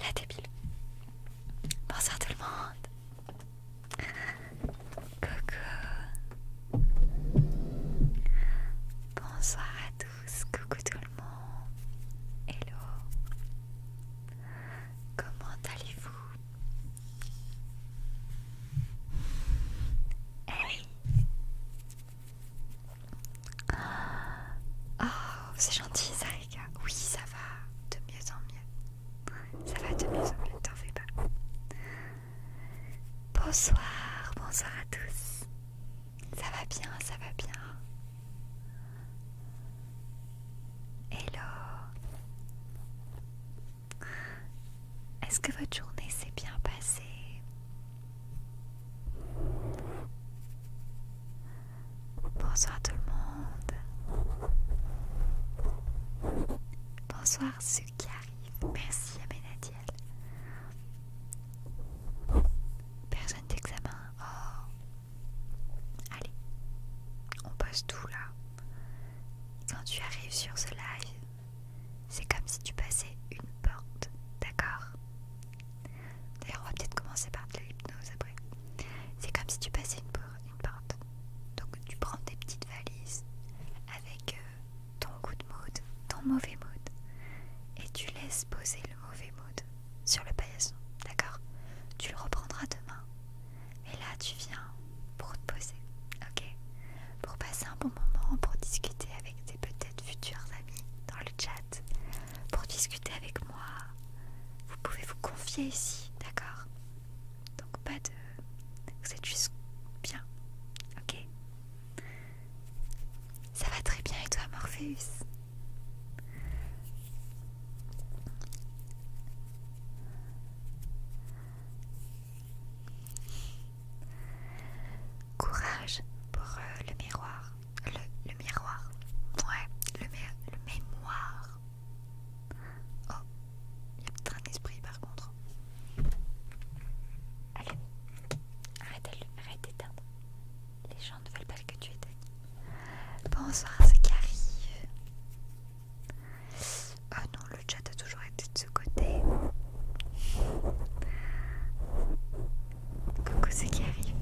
La débile. Bonsoir tout le monde. Coucou. Bonsoir à tous. Coucou tout le monde. Hello. Comment allez-vous eh Oh, c'est gentil, ça, les gars. Oui, ça va. De mieux en mieux. Ça va de mieux en t'en fais pas. Bonsoir, bonsoir à tous. Ça va bien, ça va bien. Hello. Est-ce que votre journée s'est bien passée Bonsoir tout le monde. Bonsoir ce qui arrive. Merci Amenadiel. Personne d'examen. Oh. Allez, on passe tout là. Quand tu arrives sur ce live, c'est comme si tu passais une porte, d'accord D'ailleurs, on va peut-être commencer par de l'hypnose après. C'est comme si tu passais une, porte. Donc tu prends tes petites valises avec euh, ton good mood, ton mauvais mood, et tu laisses poser le mauvais mood sur le paillasson, d'accord Tu le reprendras demain. Et là tu viens pour te poser, ok Pour passer un bon moment, pour discuter avec tes peut-être futurs amis dans le chat, pour discuter avec moi. Vous pouvez vous confier ici, d'accord donc pas de... C'est juste bien, ok Ça va très bien et toi Morpheus Courage pour euh, le miroir. Le, miroir. Ouais, le, le mémoire. Oh, il y a peut-être un esprit par contre. Allez, arrête, d'éteindre. Les gens ne veulent pas que tu éteignes. Bonsoir c'est ceux oh non, le chat a toujours été de ce côté. Coucou c'est qui arrive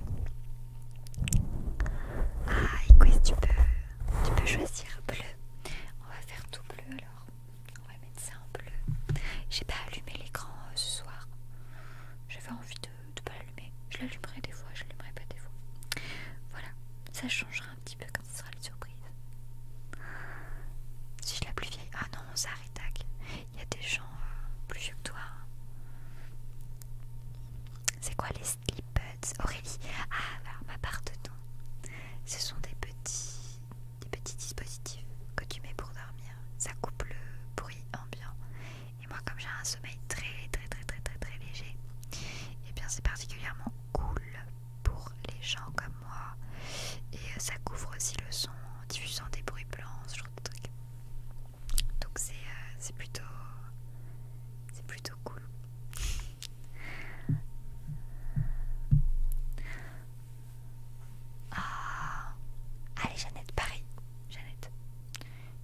Ah, écoute, tu peux, tu peux choisir bleu. On va faire tout bleu alors. On va mettre ça en bleu. J'ai pas allumé l'écran euh, ce soir. J'avais envie de, pas l'allumer. Je l'allumerai des fois, je l'allumerai pas des fois. Voilà, ça changera un petit peu quand ce sera la surprise. Si je la plus vieille. Ah non, ça arrête. Il y a des gens euh, plus vieux que toi. Hein. C'est quoi les slippers Aurélie. Ah, alors ma part Ce sont des petits, des petits dispositifs que tu mets pour dormir. Ça coupe le bruit ambiant. Et moi, comme j'ai un sommeil très, très, très, très, très, léger, et eh bien c'est particulièrement cool pour les gens comme moi. Et euh, ça couvre aussi le son en diffusant des bruits blancs, ce genre de trucs. Donc c'est euh, plutôt cool. Ah. allez Jeannette, Paris Jeannette,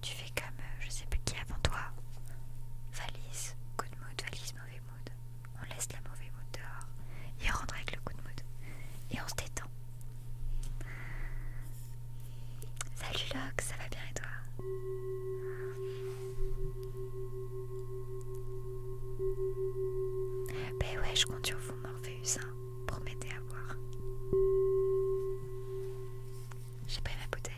tu fais comme euh, je sais plus qui avant toi. Valise, good mood, valise, mauvais mood. On laisse la mauvaise mood dehors et on rentre avec le good mood. Et on se détend. Salut Loc, ça va bien et toi ben ouais, je compte sur vous, Morpheus. pour hein. Promettez à voir. J'ai pris ma bouteille.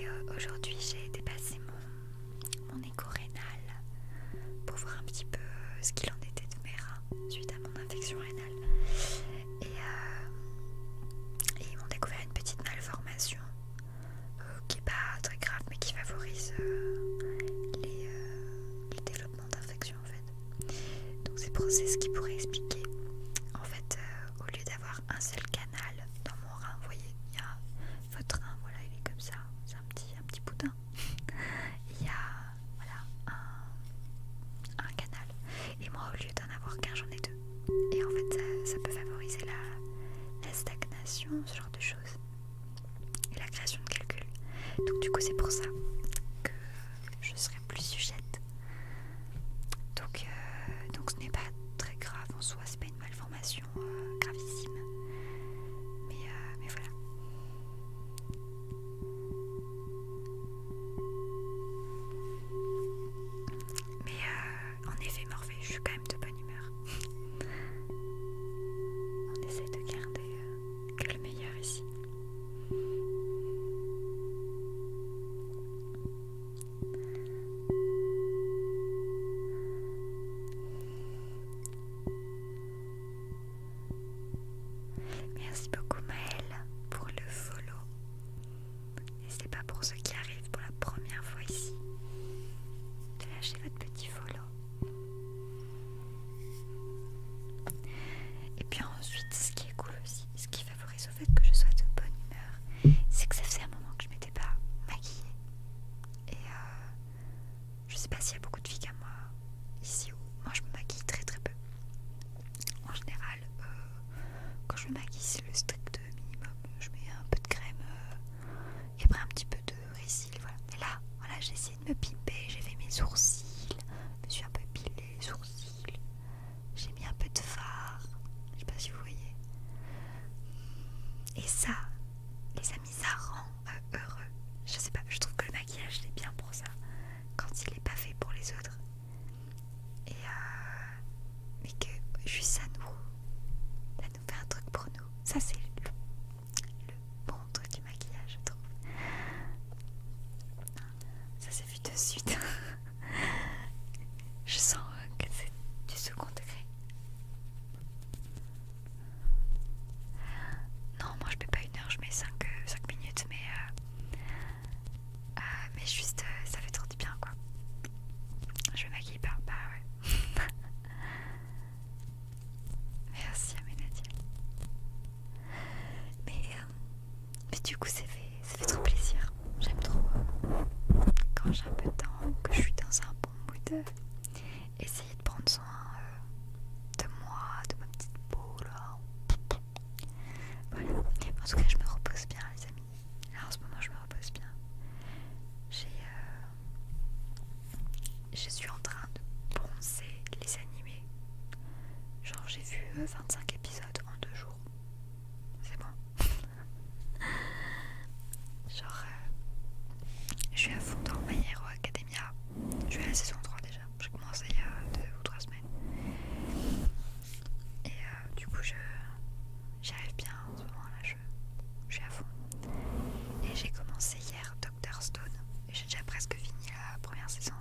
Et euh, aujourd'hui, j'ai dépassé mon, mon écho rénal pour voir un petit peu euh, ce qu'il en était de mes suite à mon infection rénale. Euh, et, ils m'ont découvert une petite malformation euh, qui n'est pas très grave mais qui favorise euh, les, développements d'infection d'infections en fait. Donc c'est ce qui pourrait expliquer. En fait, au lieu d'avoir un seul canal dans mon rein, vous voyez, il y a votre rein, voilà, il est comme ça, c'est un petit, un petit boudin. Il y a voilà, un, canal. Et moi, au lieu d'en avoir qu'un, j'en ai deux. Et en fait, ça, peut favoriser la, stagnation, ce genre de choses. Et la création de calcul Donc du coup, c'est pour ça que je serai plus sujette. Donc, euh, donc ce n'est pas très grave en soi, c'est pas une malformation euh, gravissime. Mais, euh, mais voilà. Mais euh, en effet, Morphée, je suis quand même de bonne humeur. On essaie de garder euh, le meilleur ici. Merci beaucoup Maëlle pour le follow. N'hésitez pas pour ceux qui arrivent pour la première fois ici de lâcher votre petit follow. Et puis ensuite, ce qui est cool aussi, ce qui favorise au fait que je sois de bonne humeur, c'est que ça faisait un moment que je m'étais pas maquillée. Et je euh, je sais pas s'il y a beaucoup de filles comme moi ici où moi je me maquille très très peu. En général, euh, quand je me maquille, c'est le strict minimum. Je mets un peu de crème euh, et après un petit peu de récil. Voilà. Et là, voilà, j'ai essayé de me pimper. J'ai fait mes sourcils. Je me suis un peu pilé les sourcils. J'ai mis un peu de fard. Je sais pas si vous voyez. Et ça, les amis, ça rend euh, heureux. Je sais pas, je trouve que le maquillage c'est bien pour ça. Quand il n'est pas fait pour les autres, et, euh, que juste ça nous, fait un truc pour nous. Ça, c'est le, bon truc du maquillage, je trouve. Ça s'est vu de suite. je sens euh, que c'est du second degré. Non, moi je mets pas une heure, je mets 5, 5 euh, minutes, mais euh, ah, mais juste, euh, ça fait trop du bien quoi. Je me pas, bah ouais. Merci à euh, Mais, du coup, ça fait, fait trop plaisir. J'aime trop euh, quand j'ai un peu de temps, que je suis dans un bon mood, essayer de prendre soin de moi, de ma petite peau là. Voilà. En tout cas, je me repose bien, les amis. Là, en ce moment, je me repose bien. Euh, je suis en train de bronzer les animés. Genre, j'ai vu 25 euh, épisodes en deux jours. C'est bon. Genre, euh, je suis à fond dans My Hero Academia. Je suis à la saison 3 déjà j'ai commencé il y a deux ou trois semaines. Et euh, du coup, je j'y arrive bien en ce moment là, je, suis à fond. Et j'ai commencé hier Doctor Stone, et j'ai déjà presque fini la première saison.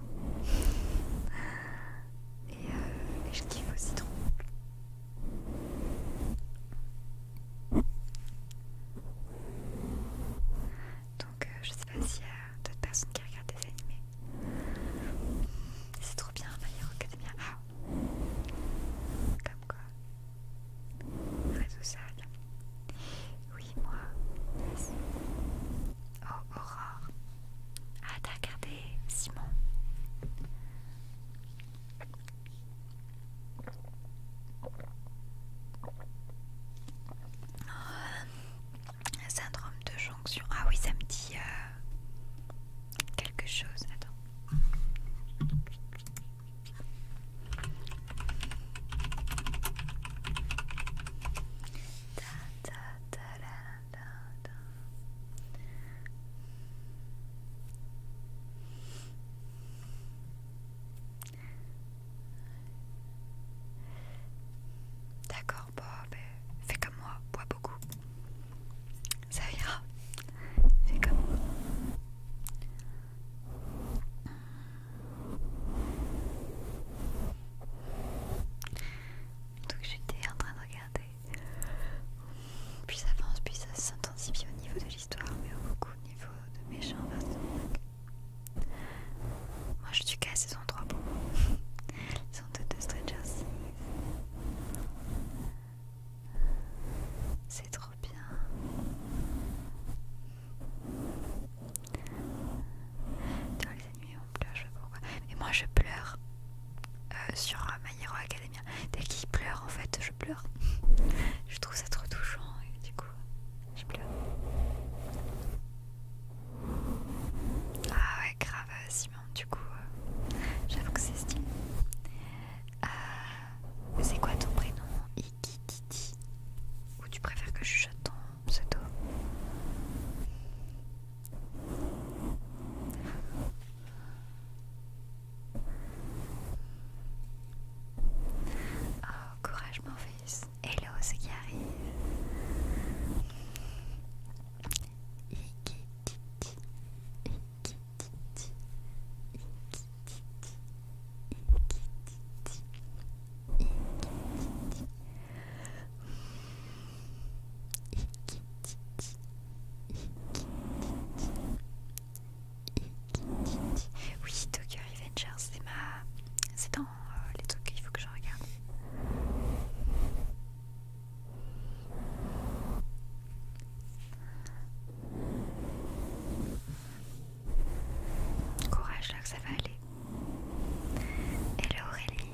Et, euh, et je kiffe aussi trop donc euh, je sais pas s'il y a d'autres personnes qui regardent des animés. C'est trop bien, My Hero bien. Ah. Comme quoi. Réseau sale. Oui, moi. Oh, Aurore. Ah, t'as regardé Simon. Oh, un syndrome de jonction. Ah oui, ça me dit euh, quelque chose. Attends. D'accord, pas, fais comme moi, bois beaucoup. Ça ira. Fais comme moi. Mmh. Donc j'étais en train de regarder. Puis ça avance, puis ça s'intensifie au niveau de l'histoire, mais beaucoup au niveau de méchants. Moi je suis qu'à saison 3 pour de stretchers C'est trop bien. les ennemis on pleure, je sais pas pourquoi. Mais moi, je pleure euh, sur My Hero Academia. Dès qu'il pleure, en fait, je pleure. je trouve ça trop touchant et du coup, je pleure. Ah ouais, grave, euh, Simon, du coup, euh, j'avoue que c'est stylé. Euh, c'est quoi ton prénom Ikititi Ou tu préfères que je chuchote ton pseudo Oh, courage mon fils. Hello, c'est qui arrive. Oui, Tokyo Avengers, c'est ma. C'est dans euh, les trucs il faut que je regarde. Courage là que ça va aller. Hello Aurélie.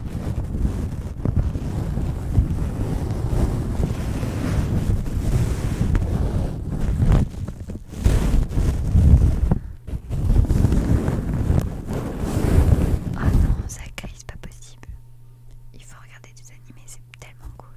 Ah non, ça caille, c'est pas possible. Il faut regarder des animés, c'est tellement cool.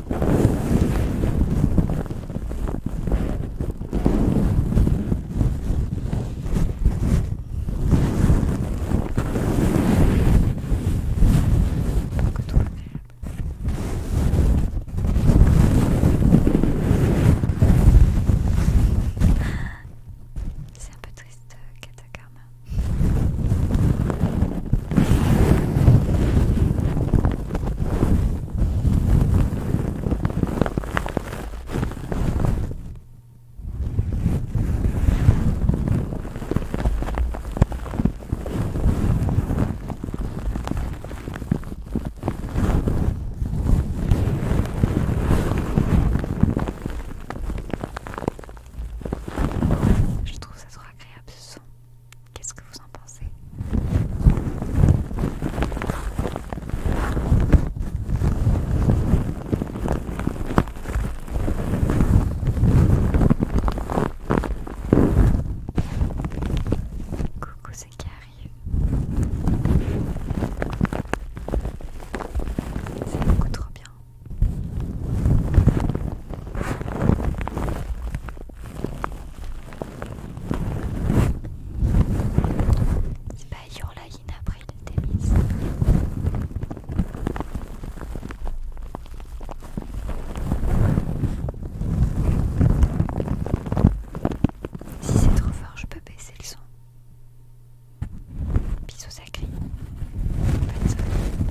C'est un peu triste, euh, Katakarma. Je trouve ça trop agréable Qu'est-ce que vous en pensez Coucou c'est qui C'est beaucoup trop bien c'est pas Bayurla April Demis. Si c'est trop fort, je peux baisser le son. Bisous sacrés. Bonne soirée.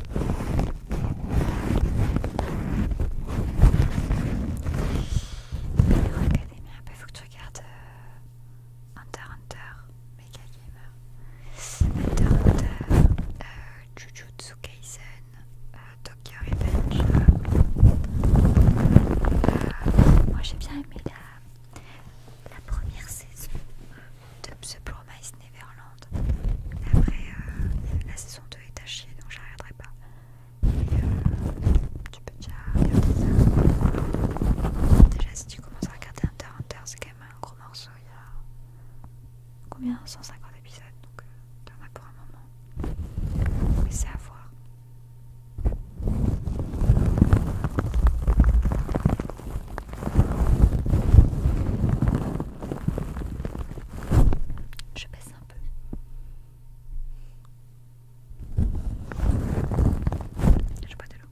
il faut que tu regardes euh, Hunter Hunter, Mega Gamer, Hunter Hunter, euh, Jujutsu Kaisen, euh, Tokyo Revenge. moi j'ai bien aimé la, la première saison de The Promise Neverland. Après, euh, la saison 2 est tachée donc je la regarderai pas. et euh, tu peux déjà regarder ça. Déjà, si tu commences à regarder Hunter Hunter, c'est quand même un gros morceau. Il y a combien 150 épisodes donc euh, t'en as pour un moment. Mais c'est à voir. Je baisse un peu. Je bois de l'eau.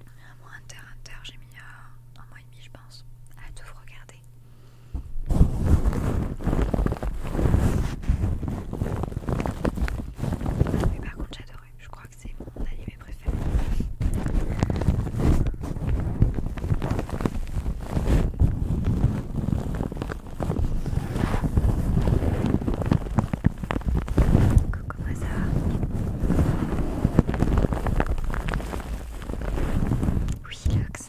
Un mois, inter, inter, j'ai mis euh, un mois et demi, je pense, à tout vous regarder. Mais par contre, j'adorais. Je crois que c'est mon animé préféré. Coucou, ça va Oui, Lux.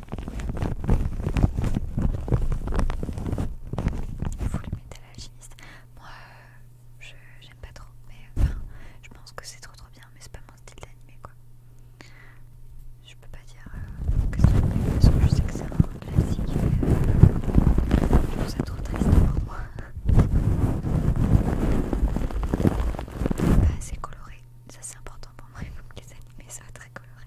Il faut les à Moi, euh, je j'aime pas trop, mais euh, enfin, je pense que c'est trop trop bien, mais c'est pas mon style d'animé quoi. Je peux pas dire euh, que c'est parce que je sais que c'est un classique. Euh, je trouve ça trop triste pour moi. Pas assez coloré, ça c'est important pour moi. Il faut que les animés soient très colorés.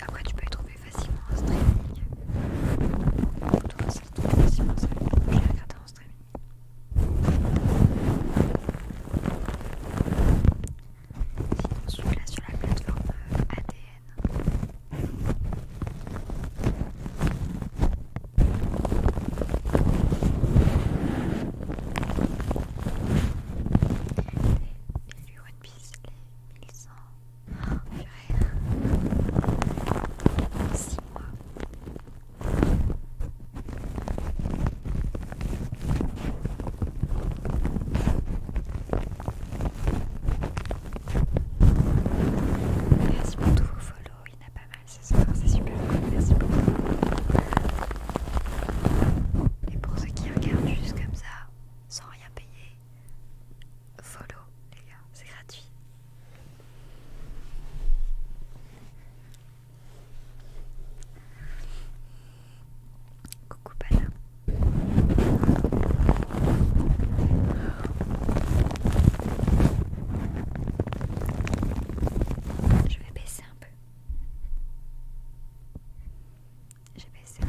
Après, tu peux les trouver facilement en streaming. Toi aussi, tu trouves facilement streaming. Je l'ai regardé en streaming. Sinon, celui-là sur la plateforme euh, ADN. Et lui, One Piece, les 1100. Oh, purée. 6 mois. Merci pour tous vos follows, il y en a pas mal ce soir, c'est super cool, merci beaucoup. Et pour ceux qui regardent juste comme ça, sans rien payer. Follow, les gars, c'est gratuit. Coucou Je vais baisser un peu. J'ai baissé.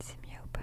C'est mieux ou pas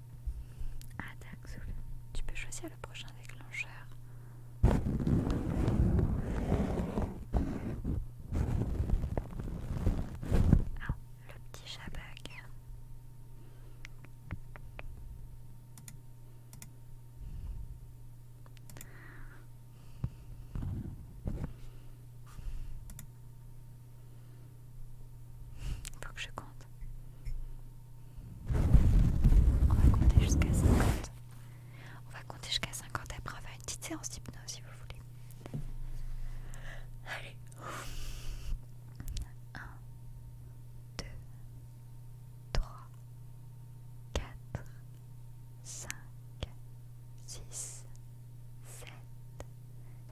Ah, tu peux choisir le prochain déclencheur. Ah, le petit chabag. Faut que je compte. On va compter jusqu'à 50. On va compter jusqu'à 50 après on va faire une petite séance d'hypnose si vous voulez. Allez. 1, 2, 3, 4, 5, 6, 7,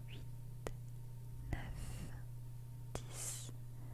8, 9, 10,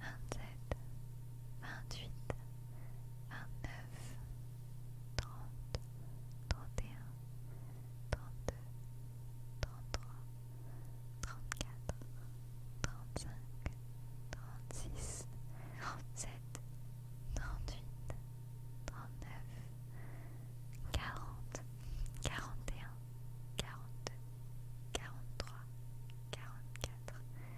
vingt 28, vingt-huit, vingt-neuf, trente, trente et un, trente-deux, trente-trois, trente-quatre, trente-cinq, trente-six, trente-sept, quarante, quarante et un, quarante quarante quarante-quatre.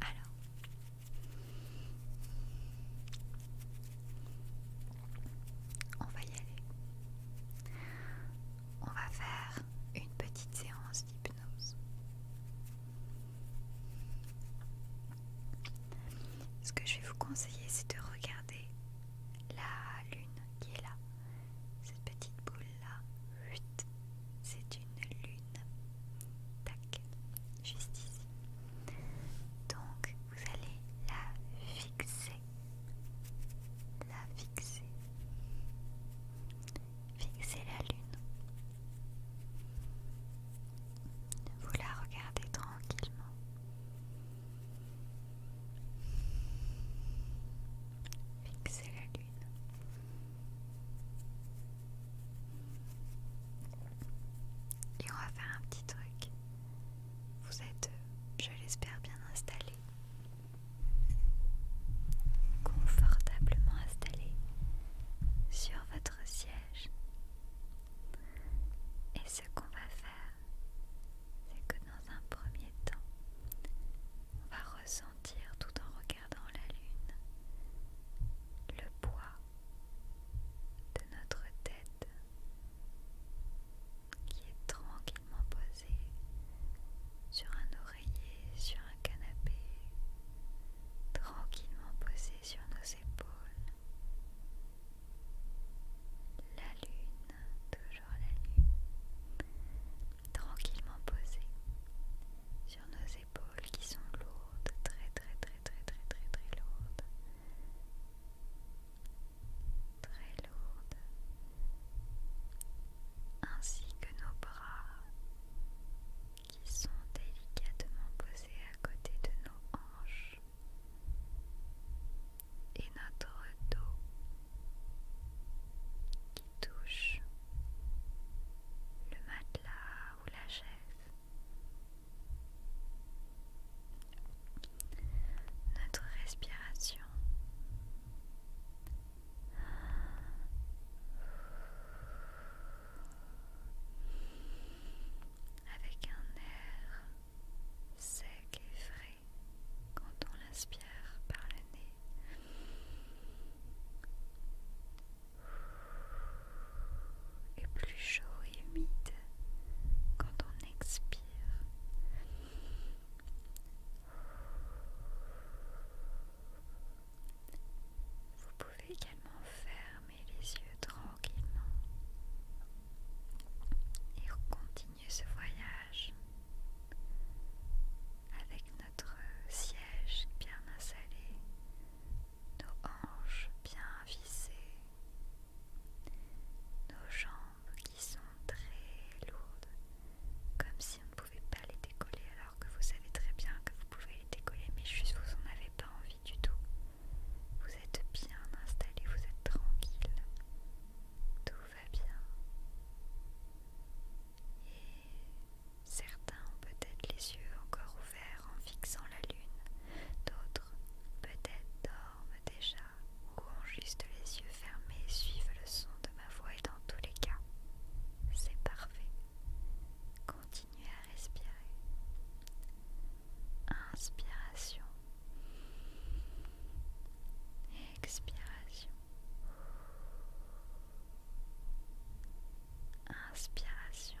Alors, on va y aller. On va faire une petite séance d'hypnose. Ce que je vais vous conseiller, c'est de regarder la lune qui est là, cette petite boule là c'est une lune. Tac, juste ici. Donc vous allez la fixer. La fixer. Fixer la lune. Vous la regardez tranquillement. fixer la lune. Et on va faire un petit truc. Vous êtes, euh, je l'espère, bien installé. Confortablement installé sur votre siège. Et ce qu'on va faire, c'est que dans un premier temps, on va ressentir tout en regardant la lune le poids de notre tête qui est tranquillement posée sur un oreiller, sur un canapé, tranquillement posée sur nos épaules. La lune, toujours la lune, tranquillement posée sur nos épaules qui sont lourdes, très très très très très très très lourdes. Très lourdes. Ainsi que nos bras qui sont délicatement posés à côté de nos hanches et notre dos touche le matelas ou la chaise. Notre respiration. Avec un air sec et frais quand on l'inspire par le nez et plus chaud et humide quand on expire. Vous pouvez également fermer les yeux tranquillement et continuer ce voyage avec notre siège bien installé, nos hanches bien vissées, nos jambes qui sont très lourdes, comme si on ne pouvait pas les décoller alors que vous savez très bien que vous pouvez les décoller, mais juste vous n'en avez pas envie du tout. Vous êtes bien installé, vous êtes tranquille, tout va bien. Et Certains ont peut-être les yeux encore ouverts en fixant la lune, d'autres peut-être dorment déjà ou ont juste les yeux fermés et suivent le son de ma voix et dans tous les cas, c'est parfait. Continuez à respirer. Inspiration. Expiration. Inspiration.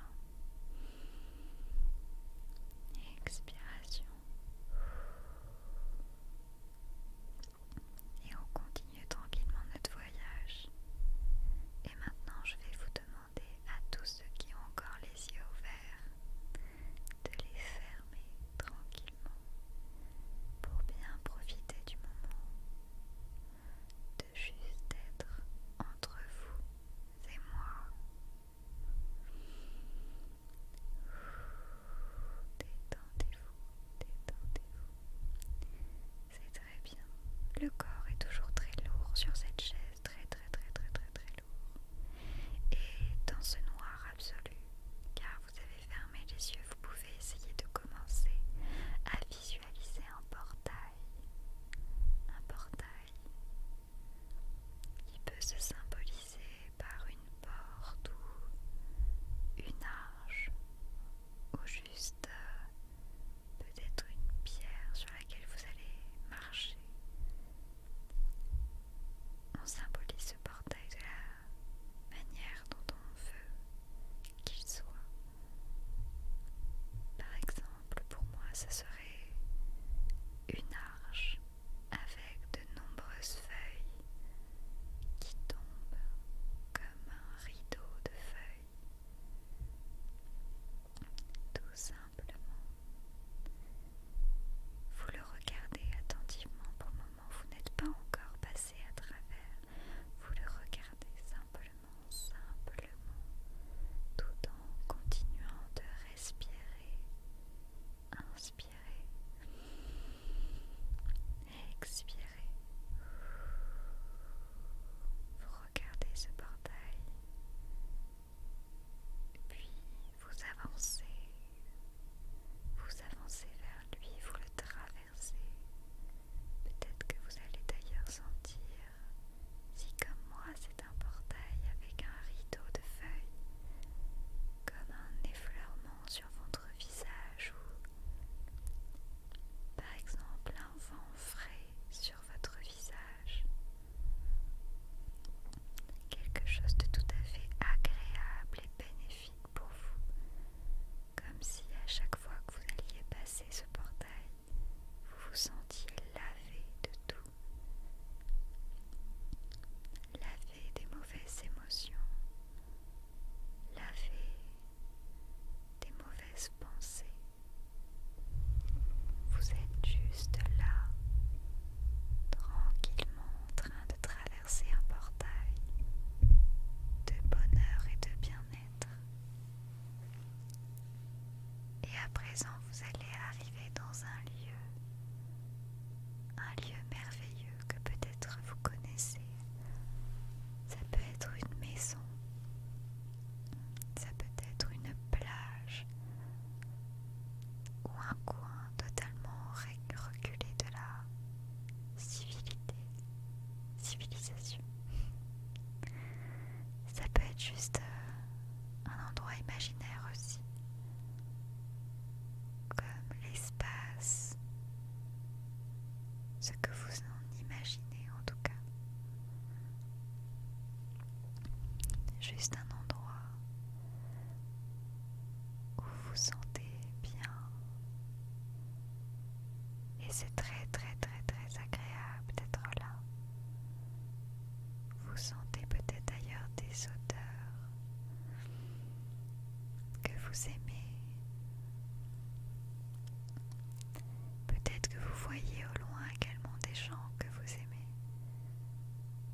Expiration. Et on continue tranquillement notre voyage. Et maintenant, je vais vous demander à tous ceux qui ont encore les yeux ouverts de les fermer tranquillement pour bien profiter du moment de juste être entre vous et moi. Détendez-vous, détendez-vous. C'est très bien. Le corps est toujours très lourd sur cette chaise, très très très très très très lourd. Et dans ce noir absolu, car vous avez fermé les yeux, vous pouvez essayer de commencer à visualiser un portail, un portail qui peut se symboliser par une porte ou une arche ou juste euh, peut-être une pierre sur laquelle vous allez marcher. On symbolise ce portail de la manière dont on veut qu'il soit. Par exemple, pour moi, ça serait une arche avec de nombreuses feuilles qui tombent comme un rideau de feuilles. Tout simplement. Vous le regardez attentivement pour le moment, vous n'êtes pas encore passé à travers vous le regardez simplement, simplement, tout en continuant de respirer, inspirer, expirer. Vous regardez ce portail, puis vous avancez, vous avancez vers lui, vous le traversez. Peut-être que vous allez d'ailleurs sentir, si comme moi c'est un portail avec un rideau de feuilles, comme un effleurement sur votre visage ou par exemple un vent frais sur votre visage. Quelque chose de tout à fait agréable et bénéfique pour vous comme si à chaque fois que vous alliez passer ce portail, vous vous sentiez lavé de tout, lavé des mauvaises émotions, lavé des mauvaises pensées. Vous êtes juste là, tranquillement en train de traverser un portail de bonheur et de bien-être. Et à présent, vous allez arriver dans un lieu, un lieu merveilleux que peut-être vous connaissez. Ça peut être une maison, ça peut être une plage ou un coin totalement reculé de la civilité civilisation. Ça peut être juste euh, un endroit imaginaire aussi, comme l'espace, ce que vous en imaginez en tout cas. Juste un endroit où vous vous sentez bien et c'est très très très très agréable d'être là. Vous sentez peut-être d'ailleurs des odeurs que vous aimez. Peut-être que vous voyez au loin également des gens que vous aimez,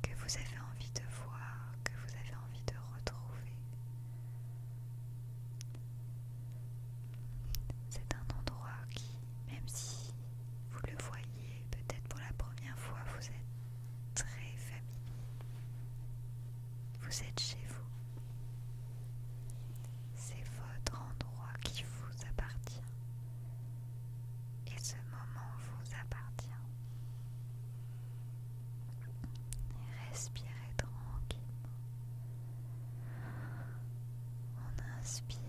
que vous avez envie de voir, que vous avez envie de retrouver. C'est un endroit qui, même si vous le voyez peut-être pour la première fois, vous êtes très familier. Vous êtes chez vous. C'est votre endroit qui vous appartient. Et ce moment vous appartient. Respirez tranquillement on inspire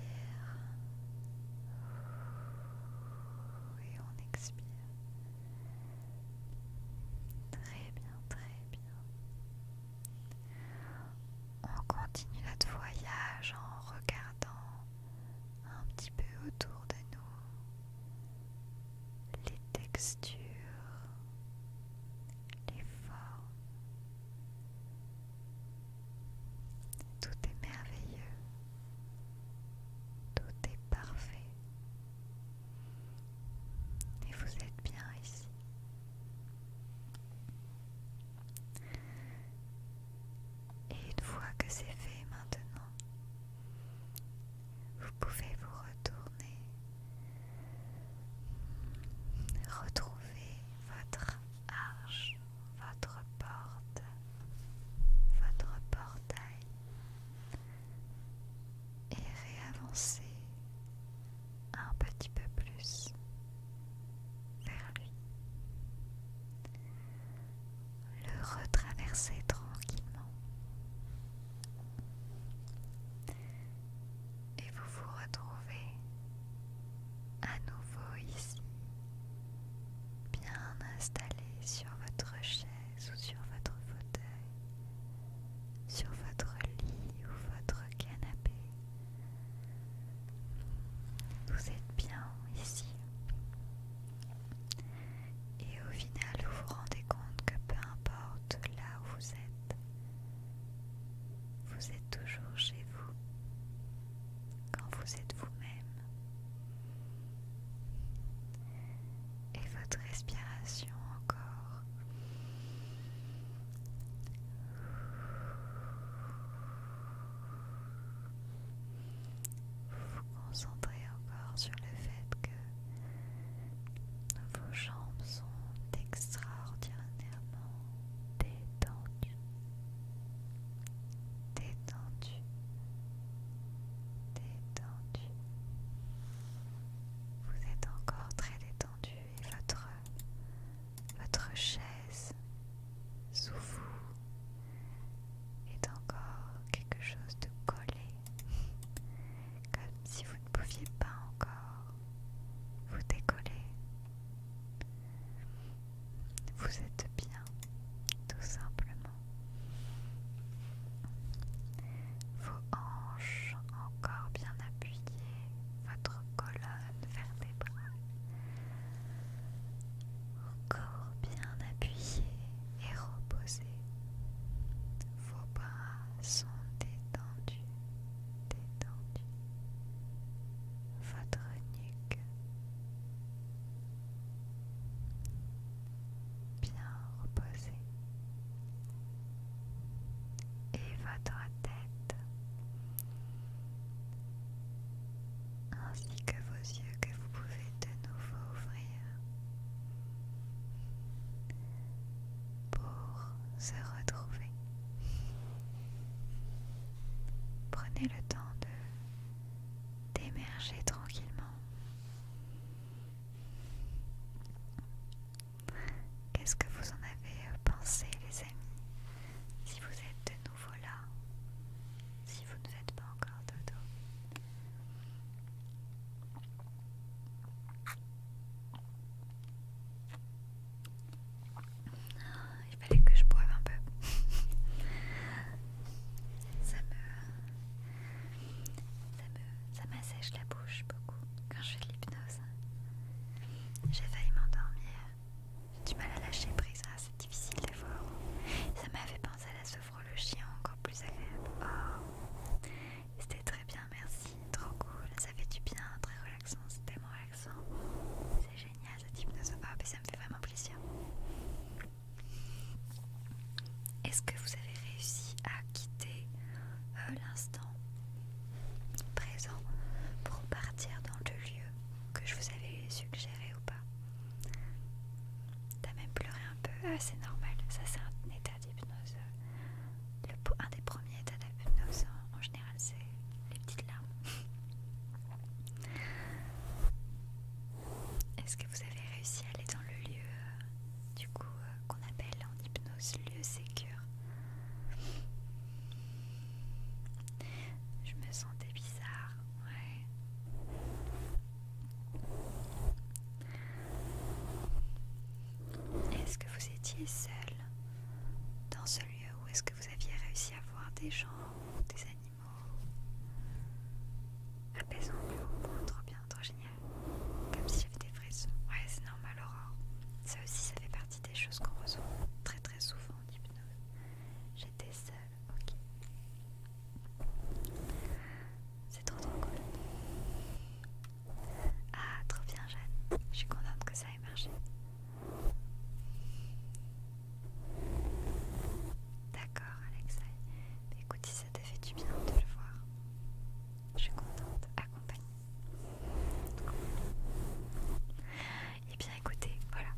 et on expire. Très bien, très bien. On continue notre voyage en regardant un petit peu autour de nous les textures, les formes, tout est merveilleux. Tout est parfait. Et vous êtes bien ici. Et une fois que c'est fait maintenant, vous pouvez vous retourner Retrouvez votre arche, votre porte, votre portail et réavancez un petit peu plus vers lui. Le retraverser tranquillement et vous vous retrouvez à nouveau ici, bien installé sur votre chaise ou sur votre fauteuil, sur votre lit ou votre canapé. Vous êtes bien ici. Et au final, vous vous rendez compte que peu importe là où vous êtes, vous êtes toujours chez vous quand vous êtes vous-même. Et votre respiration encore. Vous vous concentrez encore sur le fait que vos jambes sont extraordinairement détendu, détendu, détendu. Vous êtes encore très détendu et votre, votre chaise sous vous est encore quelque chose de collé, comme si vous ne pouviez pas encore vous décollez. Vous êtes bien, tout simplement. Vos hanches encore bien appuyées, votre colonne vertébrale encore bien appuyées et reposées, Vos bras sont détendus, détendus votre nuque bien reposée et votre tête ainsi que vos yeux que vous pouvez de nouveau ouvrir pour se retrouver Prenez le temps de d'émerger tranquillement. Qu'est-ce que vous en avez euh, pensé les amis Si vous êtes de nouveau là, si vous ne faites pas encore dodo. Il fallait que je boive un peu. ça me, ça m'assèche la bouche beaucoup quand je fais de l'hypnose. J'ai failli m'endormir. J'ai du mal à lâcher prise, ah, c'est difficile des fois. Ça m'a fait penser à la sophrologie encore plus agréable. Oh. c'était très bien, merci, trop cool, ça fait du bien, très c'était mon accent, C'est génial ce hypnose, de ah, ça me fait vraiment plaisir. Est-ce que vous avez réussi à quitter euh, l'instant présent pour partir dans le lieu que je vous avais suggéré ou pas T'as même pleuré un peu ah, c'est normal, ça c'est un état d'hypnose. Un des premiers états d'hypnose en général les petites larmes. Est-ce que vous avez réussi à aller dans le lieu euh, du coup euh, qu'on appelle en hypnose lieu sécur Je me sentais bizarre, ouais. Est-ce que vous étiez seul dans ce lieu où est-ce que vous aviez réussi à voir des gens, des animaux. Apaisant le trop bien, trop génial. Comme si j'avais des frissons. Ouais, c'est normal, Aurore. Ça aussi, ça fait partie des choses qu'on ressent très très souvent en hypnose. J'étais seule, ok. C'est trop trop cool. Ah, trop bien, Jeanne. Je suis contente que ça ait marché. D'accord, Alexei. Écoute, si ça t'a fait du bien de le voir, je suis contente, accompagnée. Et eh bien, écoutez, voilà.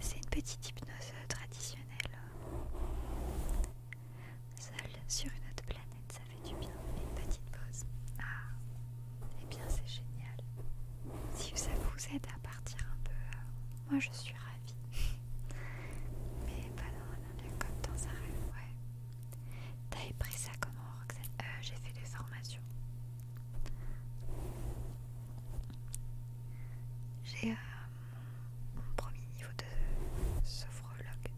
C'est une petite hypnose euh, traditionnelle seul sur une autre planète, ça fait du bien. Une petite pause. Ah, et eh bien c'est génial. Si ça vous aide à partir un peu, euh, moi je suis ravie. Mais pas dans un avion comme dans un rêve, ouais. T'avais pris ça comment, Roxane euh, J'ai fait des formations. J'ai euh, mon premier niveau de sophrologue.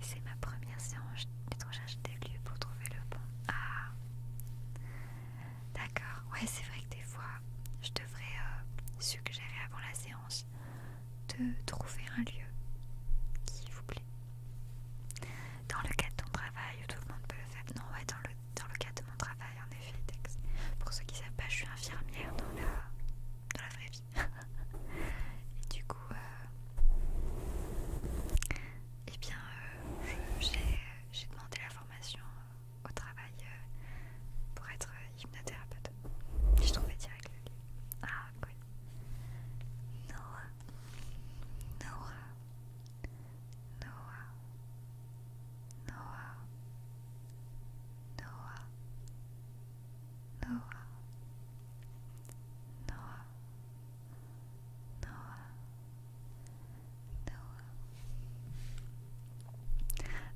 C'est ma première séance de recherche des lieux pour trouver le bon. Ah D'accord, ouais, c'est vrai que des fois, je devrais euh, suggérer avant la séance de trouver un lieu qui vous plaît. Dans le cadre de ton travail, où tout le monde peut le faire. Non, ouais, dans le, dans le cadre de mon travail, en effet, Pour ceux qui ne savent pas, je suis infirmière dans la, dans la vraie vie. Et du coup, euh, eh bien, euh, j'ai demandé la formation euh, au travail euh, pour être hypnothérapeute. J'ai trouvé direct le Ah, oui. Noah. Noah. Noah. Noah. Noah. Noah. Noah. Noah,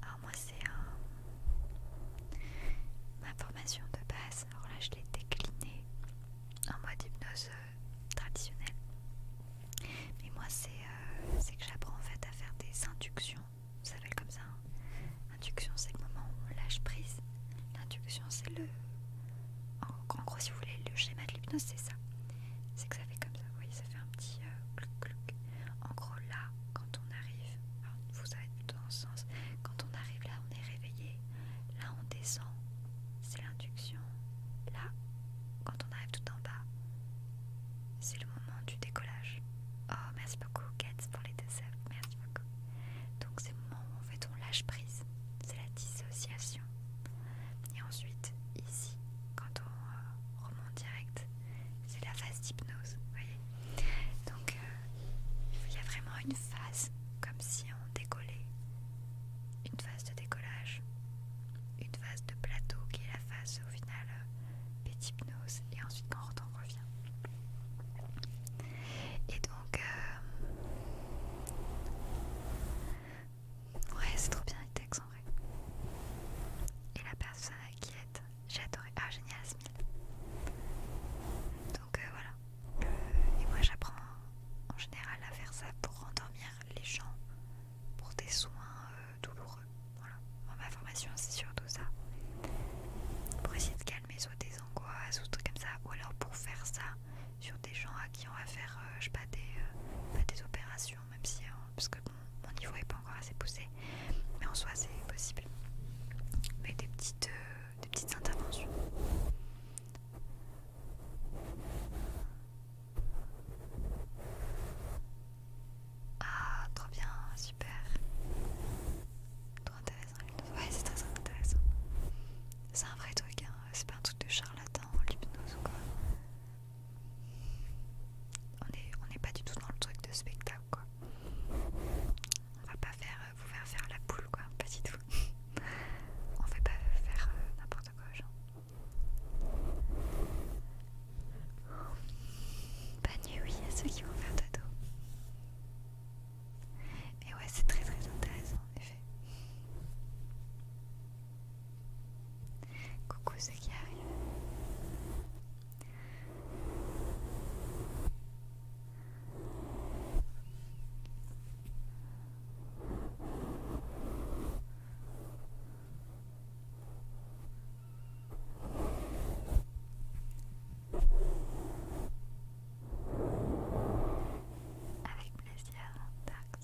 Alors moi c'est euh, ma formation de base. Alors là je l'ai déclinée en mode hypnose euh, traditionnelle. Mais moi euh, c'est que j'apprends en fait à faire des inductions. Ça s'appelle comme ça. Hein. Induction c'est le moment où on lâche prise. L'induction c'est le en, gros, si vous voulez, le schéma de l'hypnose, c'est ça. C'est que ça fait comme ça, vous voyez, ça fait un petit clouc euh, clouc, En gros, là, quand on arrive, vous savez plutôt dans ce sens, quand on arrive là, on est réveillé, là, on descend, c'est l'induction. Là, quand on arrive tout en bas, c'est le moment du décollage. Oh, merci beaucoup, Kate, pour les deux Merci beaucoup. Donc c'est le moment où en fait on lâche prise, c'est la dissociation. Et ensuite ici, quand on euh, remonte direct, c'est la phase d'hypnose, Donc euh, il y a vraiment une phase comme si on décollait, une phase de décollage, une phase de plateau qui est la phase au final euh, d'hypnose et ensuite quand on revient. Et donc, euh, ouais, c'est trop bien textes en vrai. Et la personne qui aide, j'ai adoré. Ah, génial, Smile Donc euh, voilà. Euh, et moi, j'apprends en général à faire ça pour endormir les gens pour des soins douloureux. Voilà. ma formation, c'est surtout ça. Pour essayer de calmer soit des angoisses ou des trucs comme ça, ou alors pour faire ça, sur des gens à qui on va faire euh, je pas, des, euh, des opérations même si euh, parce que mon, niveau n'est pas encore assez poussé mais en soi c'est possible mais des petites des petites interventions ah trop bien super Ouais, c'est très intéressant. C'est un vrai truc, hein. c'est pas un truc de charlatan, l'hypnose ou quoi. On n'est est pas du tout dans le truc de spectacle, quoi. On va pas faire, euh, vous faire faire la poule, quoi, pas du tout. on fait pas faire euh, n'importe quoi, genre. Bonne nuit, oui, à ceux qui vont faire dodo. Et ouais, c'est très très intéressant en effet. Coucou ceux qui arrivent. Avec plaisir, Dark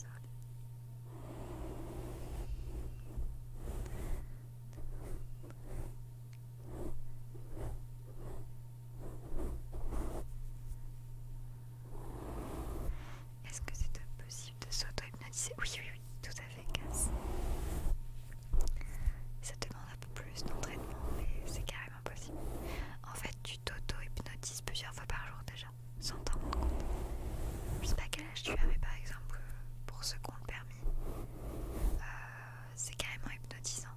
Est-ce que c'est possible de s'auto-hypnotiser Oui, oui, oui, tout à fait, Ça demande un peu plus d'entraînement, mais c'est carrément possible. En fait, tu t'auto-hypnotises plusieurs fois par jour déjà, sans t'en rendre compte. Je sais pas quel âge tu as, mais par exemple, pour ce' qui le permis, euh, c'est carrément hypnotisant.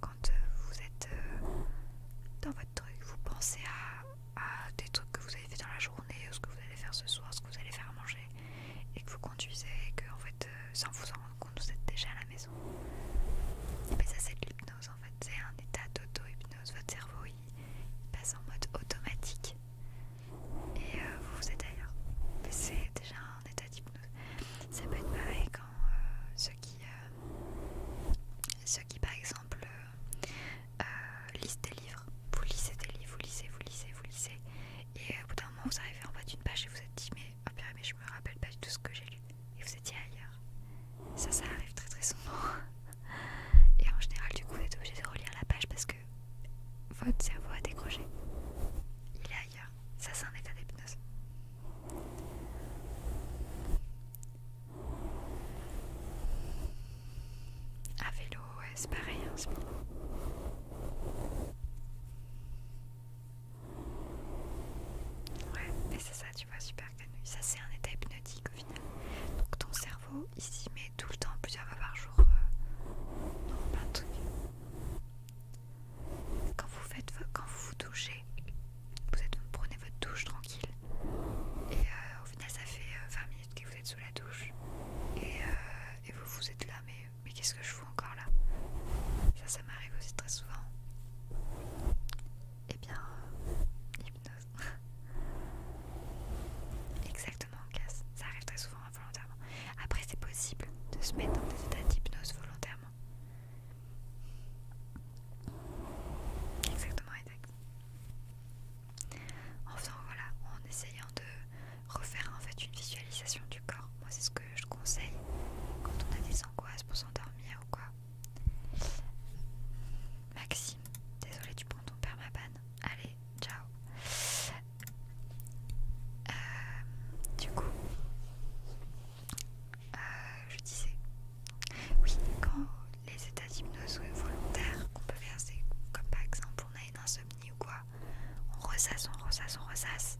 Quand euh, vous êtes euh, dans votre truc, vous pensez à, des trucs que vous avez fait dans la journée, ou ce que vous allez faire ce soir, ce que vous allez faire à manger, et que vous conduisez, et que en fait, sans vous en rendre compte, vous êtes déjà à la maison. Et ça, c'est de l'hypnose fait c'est un état d'auto-hypnose, votre cerveau passe en mode automatique et euh, vous vous êtes ailleurs. C'est déjà un état d'hypnose. Ça peut être pareil quand euh, ceux, qui, euh, qui par exemple lisent des livres, vous lisez des livres, vous lisez, vous lisez, vous lisez et au bout d'un moment vous arrivez en bas d'une page et vous êtes dit mais, oh, je me rappelle pas du tout ce que j'ai lu ailleurs. Ça, ça arrive très très souvent. Et en général, du coup, vous êtes obligé de relire la page parce que votre cerveau a décroché. Il est ailleurs. Ça, c'est un état d'hypnose. À vélo, ouais, c'est pareil, hein, c'est bon. Ouais, mais c'est ça, tu vois, super. Ça, c'est un état hypnotique au final. Donc, ton cerveau, il s'y met tout le temps, plusieurs fois par jour, euh, plein de trucs. Quand vous, faites, quand vous vous douchez, vous, êtes, prenez votre douche tranquille, et euh, au final, ça fait 20 euh, minutes que vous êtes sous la douche, et, vous vous êtes là, mais, mais qu'est-ce que je fous encore là Ça, ça m'arrive aussi très souvent. Et eh bien, euh, hypnose. Exactement, Casse Ça arrive très souvent involontairement. Hein, Après, c'est possible de se mettre dans des états d'hypnose volontairement. Exactement, exact. Enfin voilà, en essayant de refaire en fait une visualisation du corps. Moi, c'est ce que je conseille quand on a des angoisses pour s'endormir ou quoi. Maxime, désolé, tu prends ton père ma Allez, ciao. Euh, du coup, euh, je disais, oui, quand les états d'hypnose volontaires qu'on peut c'est comme par exemple on a une insomnie ou quoi, on ressasse, on ressasse, on ressasse.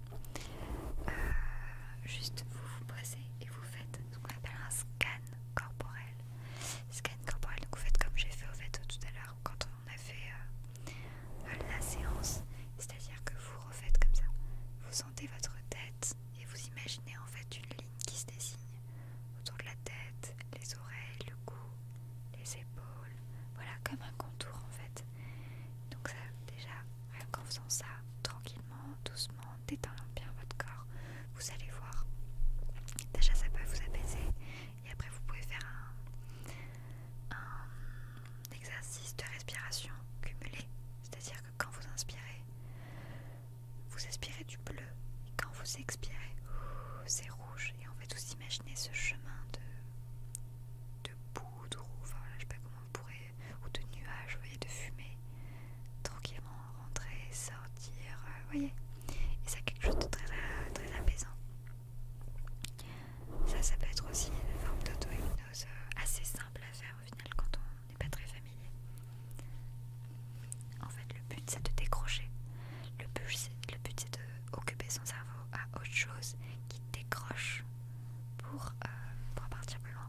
Euh, juste vous vous posez et vous faites ce qu'on appelle un scan corporel. Scan corporel, donc vous faites comme j'ai fait au fait tout à l'heure quand on a fait euh, la séance, c'est-à-dire que vous refaites comme ça, vous sentez votre tête et vous imaginez en fait une ligne qui se dessine autour de la tête, les oreilles, le cou, les épaules, voilà comme un contour en fait. Donc ça déjà, rien qu'en faisant ça, tranquillement, doucement, détendant bien votre corps, vous allez voir. Déjà, ça peut vous apaiser et après, vous pouvez faire un, exercice de respiration cumulé, c'est-à-dire que quand vous inspirez, vous inspirez du bleu et quand vous expirez, c'est rouge. Et en fait, vous imaginez ce chemin de, de poudre je sais pas comment on pourrait, ou de nuages, vous de fumée, tranquillement rentrer, sortir, euh, vous voyez. Et ça, quelque chose de euh, très, apaisant. Ça, ça peut être aussi une forme d'auto-hypnose euh, assez simple à faire au final quand on n'est pas très familier. En fait, le but c'est de décrocher. Le but c'est d'occuper son cerveau à autre chose qui décroche pour, pour partir plus loin.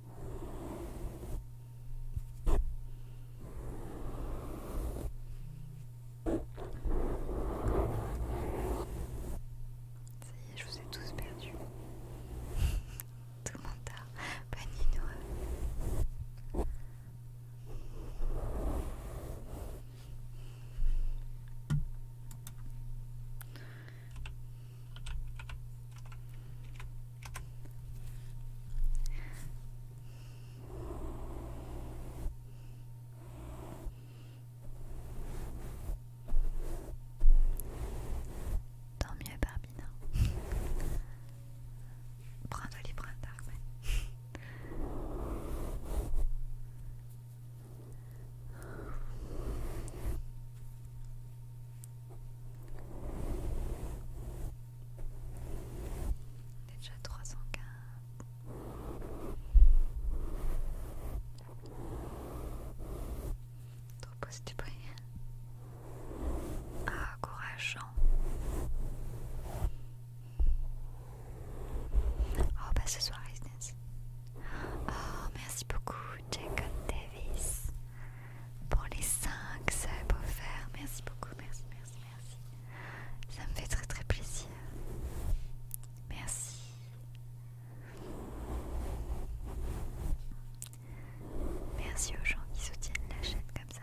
Ça y est, je vous ai tous perdus Tout le monde Bonne nuit. Tant mieux, Barbina. Prends-toi les bras, d'armes on est déjà à 315. Trop positif. Ah, courageant. Oh, bah ce soir, Isnes. Oh, merci beaucoup, Jacob Davis pour les 5 beau faire, Merci beaucoup, merci, merci, merci. Ça me fait très très plaisir. Merci. Merci aux gens qui soutiennent la chaîne comme ça.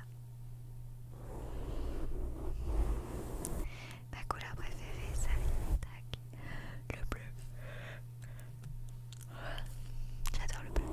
Ma couleur préférée, ça le bleu. J'adore le bleu.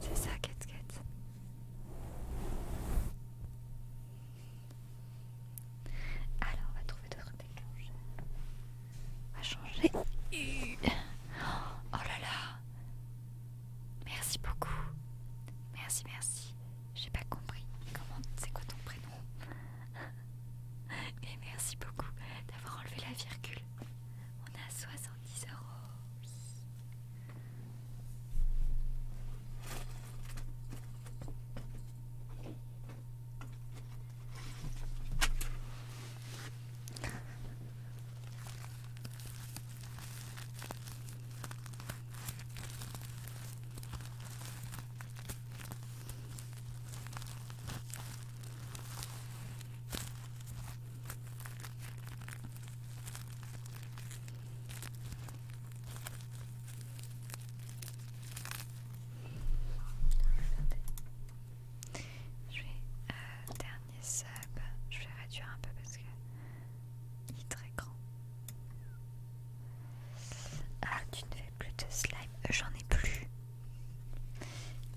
C'est ça, qu'est-ce Alors, on va trouver d'autres déclencheurs. On va changer. Oh là là. Merci beaucoup. Merci, merci. J'ai pas compris. Comment c'est quoi ton prénom Et merci beaucoup d'avoir enlevé la virgule. On a 60 10 je vais euh, dernier sub. Je vais réduire un peu parce que il est très grand. Ah, tu ne fais plus de slime. J'en ai plus.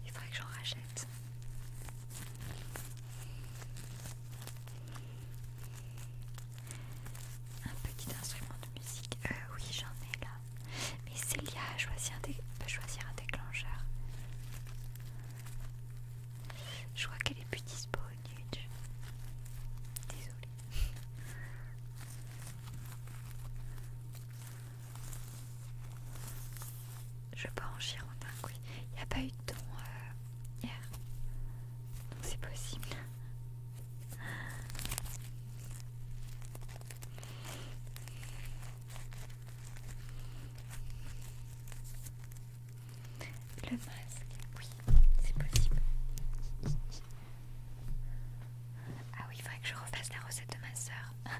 Il faudrait que j'en rachète. Un petit instrument de musique. Euh, oui, j'en ai là. Mais Célia a choisi choisir un déclencheur. Je vois qu'elle est plus disponible Désolée. Je peux en un oui. Il n'y a pas eu de don euh, hier. Donc c'est possible. Le masque, oui, c'est possible. Ah oui, il faudrait que je refasse la recette de ma soeur.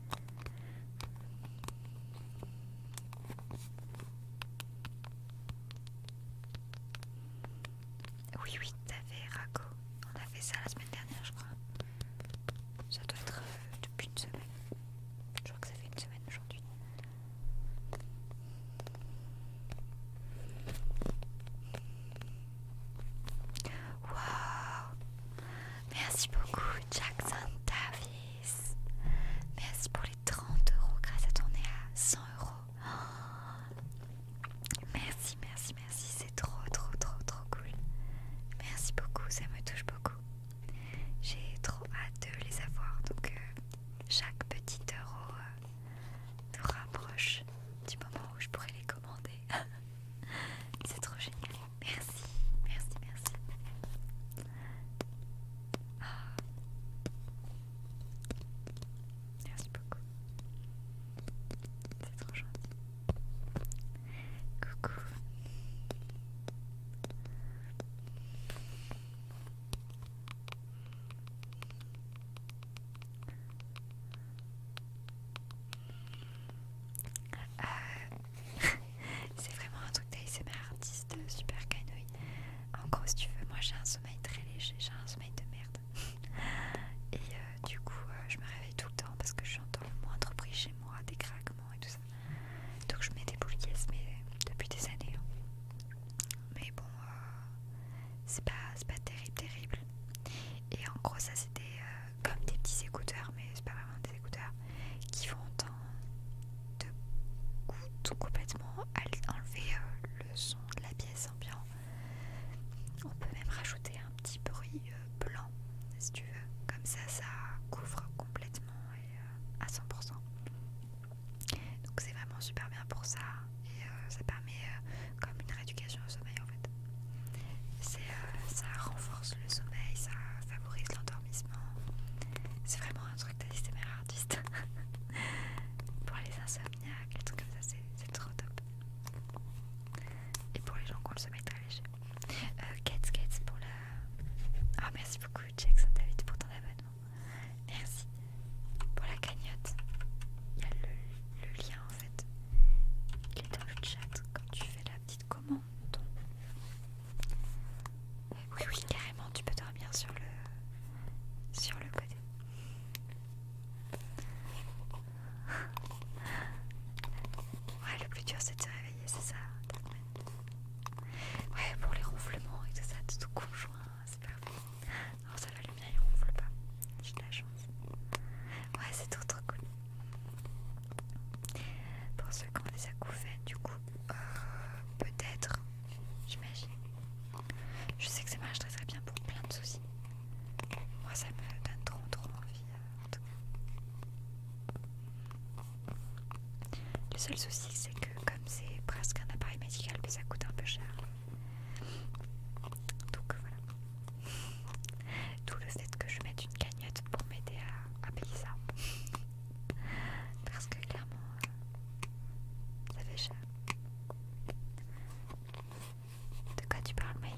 Oui, oui, fait Rago On a fait ça la semaine dernière, je crois. Ça doit être euh, depuis une semaine. Je crois que ça fait une semaine aujourd'hui. Wow Merci beaucoup, Jackson David. Merci pour les 30 euros grâce à ton nez à 100 euros. merci, merci, merci. C'est trop, trop, trop, trop cool. Merci beaucoup, ça me touche beaucoup. J'ai trop hâte de les avoir. Donc, euh, chaque petit euro euh, nous rapproche du moment où je pourrais les commander. C'est trop génial. Merci, merci, merci. Ah. Merci beaucoup. C'est trop gentil. Coucou. Euh, c'est vraiment un truc d'ASMR artiste super canouille. En gros, si tu veux, moi j'ai un sommeil très léger, j'ai un sommeil de merde. Et euh, du coup, euh, je me réveille tout le temps parce que j'entends le moindre bruit chez moi, des craquements et tout ça. Donc je mets des boules mais depuis des années. Hein. Mais bon, euh, c'est pas, pas terrible, terrible. Et en gros, ça c'était comme des petits écouteurs, mais c'est pas vraiment des écouteurs qui vont de, tout complètement enlever euh, le son de la pièce ambiant. On peut même rajouter un petit bruit euh, blanc si tu veux, comme ça ça couvre complètement et euh, à 100%. Donc c'est vraiment super bien pour ça et ça permet comme une rééducation au sommeil en fait. ça renforce le sommeil, ça favorise l'endormissement. C'est vraiment un truc artiste pour les insomniaques, les trucs comme ça, c'est trop top. Et pour les gens qui ont le sommeil très léger. Euh, pour la. Oh, merci beaucoup, Jackson David, pour ton abonnement. Merci pour la cagnotte. Il y a le lien en fait. Il est dans le chat quand tu fais la petite commande. Oui, oui, carrément, tu peux dormir sur le, sur le côté. Ouais, le plus dur c'est de se réveiller, c'est ça. Ouais, pour les ronflements et tout ça, tout conjoint, c'est parfait. Non, ça va, le mien il ronfle pas. J'ai de la chance. Ouais, c'est trop trop cool. Pour ceux qui ont des acouphènes, du coup. Euh, peut-être, j'imagine. Je sais que ça marche très très bien pour plein de soucis. Moi, ça me donne trop trop envie. Euh, le seul souci, c'est que comme c'est presque un appareil médical, mais ça coûte un peu cher. Donc voilà. D'où le fait que je mette une cagnotte pour m'aider à payer ça. Parce que clairement, euh, ça fait cher. De quoi tu parles, Maïka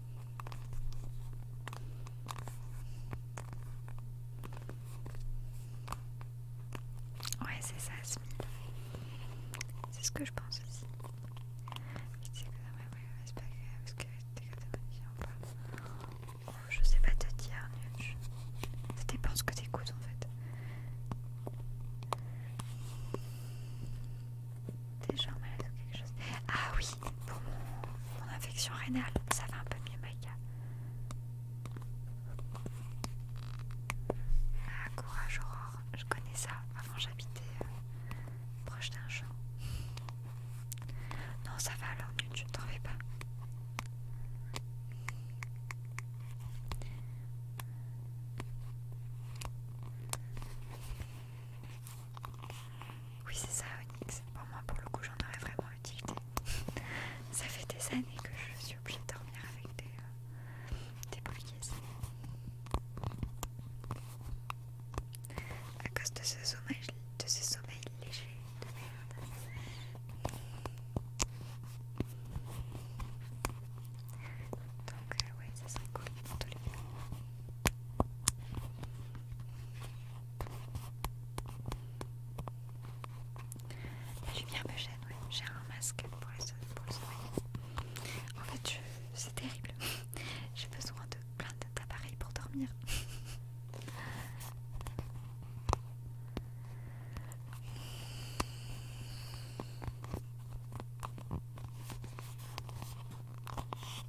Ouais, c'est ça, C'est ce que je pense aussi. Je sais pas. Oh, je sais pas te dire, nul, Ça dépend ce que t'écoutes en fait. T'es genre malade ou quelque chose. Ah oui, pour mon, infection rénale, ça va un peu mieux, Maïka. Ah, courage, Aurore, je connais ça. Avant, j'habitais euh, proche d'un champ. Non, ça va alors, Tu ne t'en vais pas. Oui, c'est ça, Onyx. Pour moi, pour le coup, j'en aurais vraiment utilité ça fait des années que je suis obligée de dormir avec des, euh, des À cause de ce sommeil, de ce sommeil léger de Donc, euh, ouais, ça serait cool pour tous les la lumière me gêne, J'ai un masque pour, le soir En fait, c'est terrible. J'ai besoin de plein d'appareils pour dormir.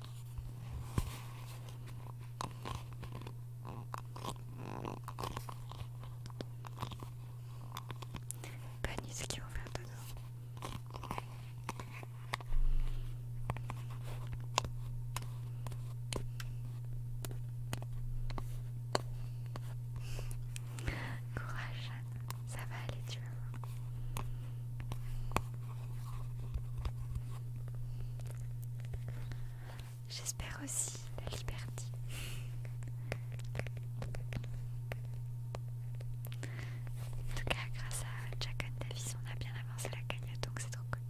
ce qu'ils vont faire Courage, ça va aller, tu vas J'espère aussi la liberté. En tout cas, grâce à Jack Davis, on a bien avancé la cagnotte, donc c'est trop cool.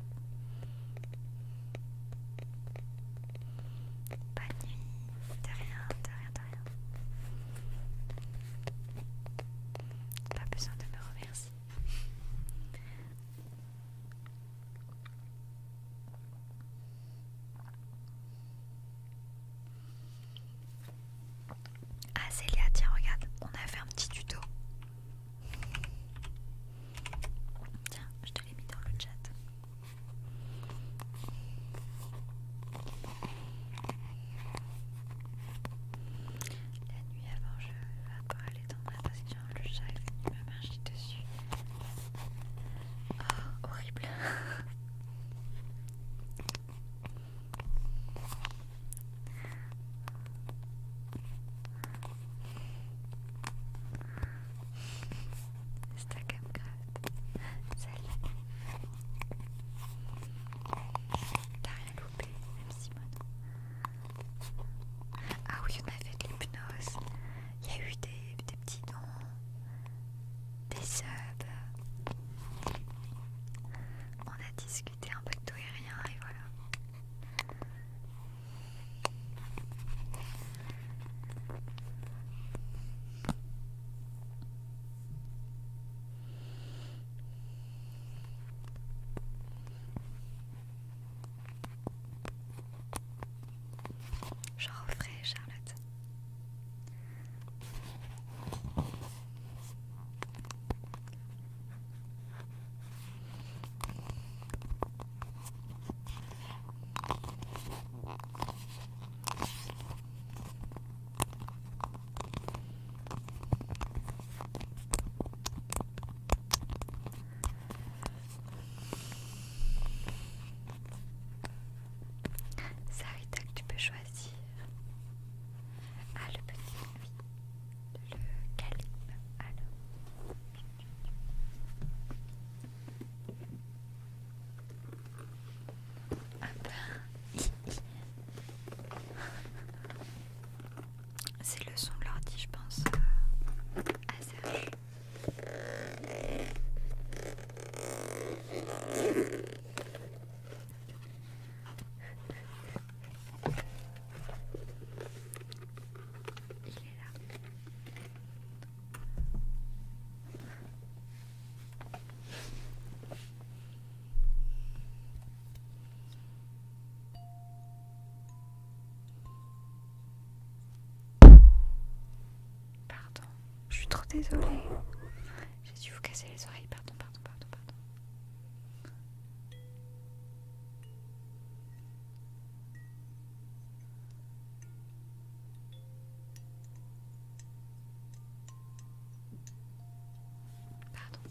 Pas de nuit, de rien, de rien, de rien. Pas besoin de me remercier. Ah Célia, tiens regarde, on a fait un petit tuto. Tiens, je te l'ai mis dans le chat. La nuit avant, je vais encore aller dans ma passion. Le chat il me marcher dessus. Oh, horrible! C'est comme grave. Salut. T'as rien ah oui, on a fait de l'hypnose. Il y a eu des, des petits dons, des subs. On a discuté un peu de tout et rien, et voilà. Je referai, Charlotte. Ça Sarita que tu peux choisir. Ah le petit, oui. Le calibre, alors. Ah ben. C'est le son de l'ordi, je pense, euh, à Serge. Il est là. Pardon, je suis trop désolée. J'ai dû vous casser les oreilles. Pardon, pardon, pardon, pardon. Pardon.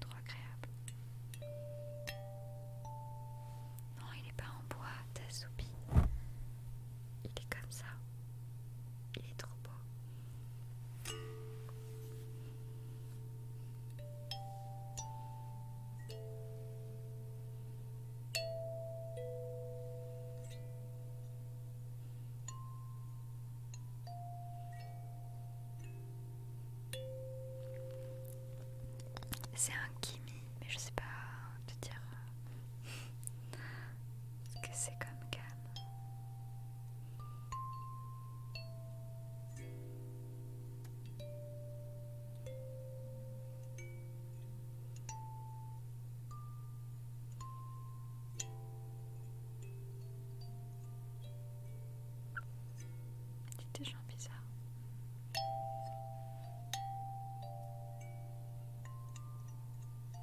Trop agréable. Non, il n'est pas en bois, ta soupi. Il est comme ça. Il est trop beau. C'est un kimi, mais je sais pas te dire euh, ce que c'est comme gamme. Des gens bizarre.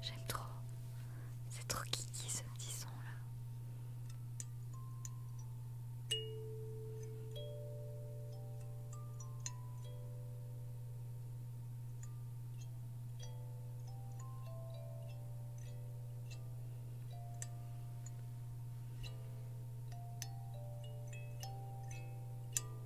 J'aime trop. C'est trop kiki ce petit son là.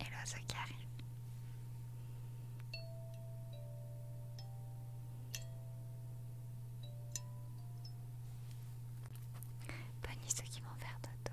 Et l'oiseau qui arrive. Bonne nuit ceux qui vont faire dodo.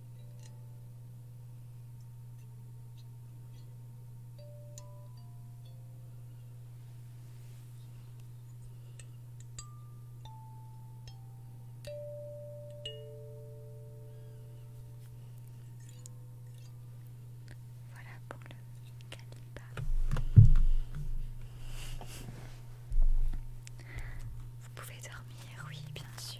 Voilà pour le calibre. Vous pouvez dormir, oui, bien sûr.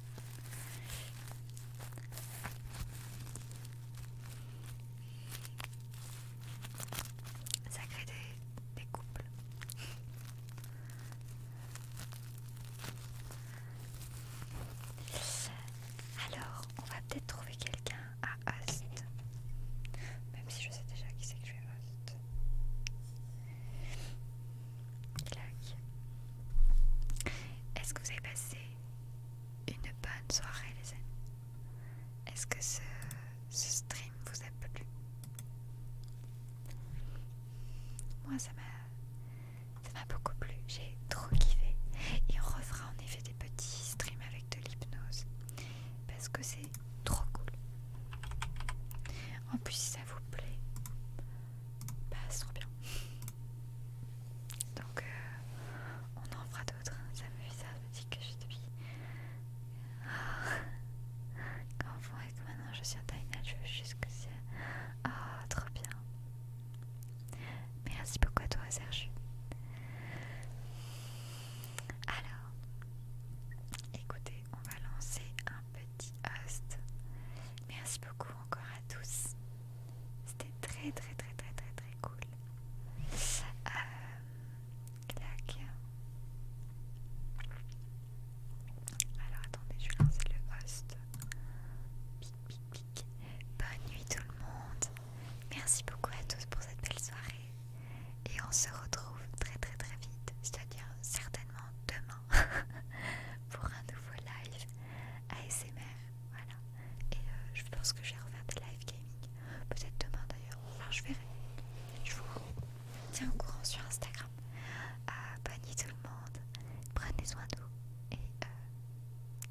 Ça crée des, couples. Alors, on va peut-être trouver quelqu'un à Host. Même si je sais déjà qui c'est que je vais Host. Est-ce que vous avez passé une bonne soirée les amis Est-ce que ce, stream vous a plu Moi ça m'a beaucoup plu, j'ai trop kiffé. Et on refera en effet des petits streams avec de l'hypnose. Parce que c'est trop cool. En plus si ça vous plaît, bah c'est trop bien. Donc euh, on en fera d'autres. Ça me fait ça, me dit que je depuis... Oh. Qu'en vous et que maintenant je suis en Taïna, je veux juste que Oh, trop bien. Merci beaucoup à toi Serge. Alors, écoutez, on va lancer un petit host. Merci beaucoup encore à tous. C'était très très très très très très cool. Euh, Alors attendez, je vais lancer le host. Bonne nuit tout le monde. Merci beaucoup à tous pour cette belle soirée. Et on se retrouve très très très vite, c'est-à-dire certainement demain pour un nouveau live ASMR. Voilà. Et euh, je pense que je vais refaire des live gaming. Peut-être demain d'ailleurs. je verrai. Je vous tiens au courant sur Instagram. à ah, bonne tout le monde. Prenez soin de vous. Et euh,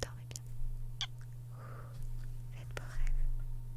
dormez bien. Faites beaux rêves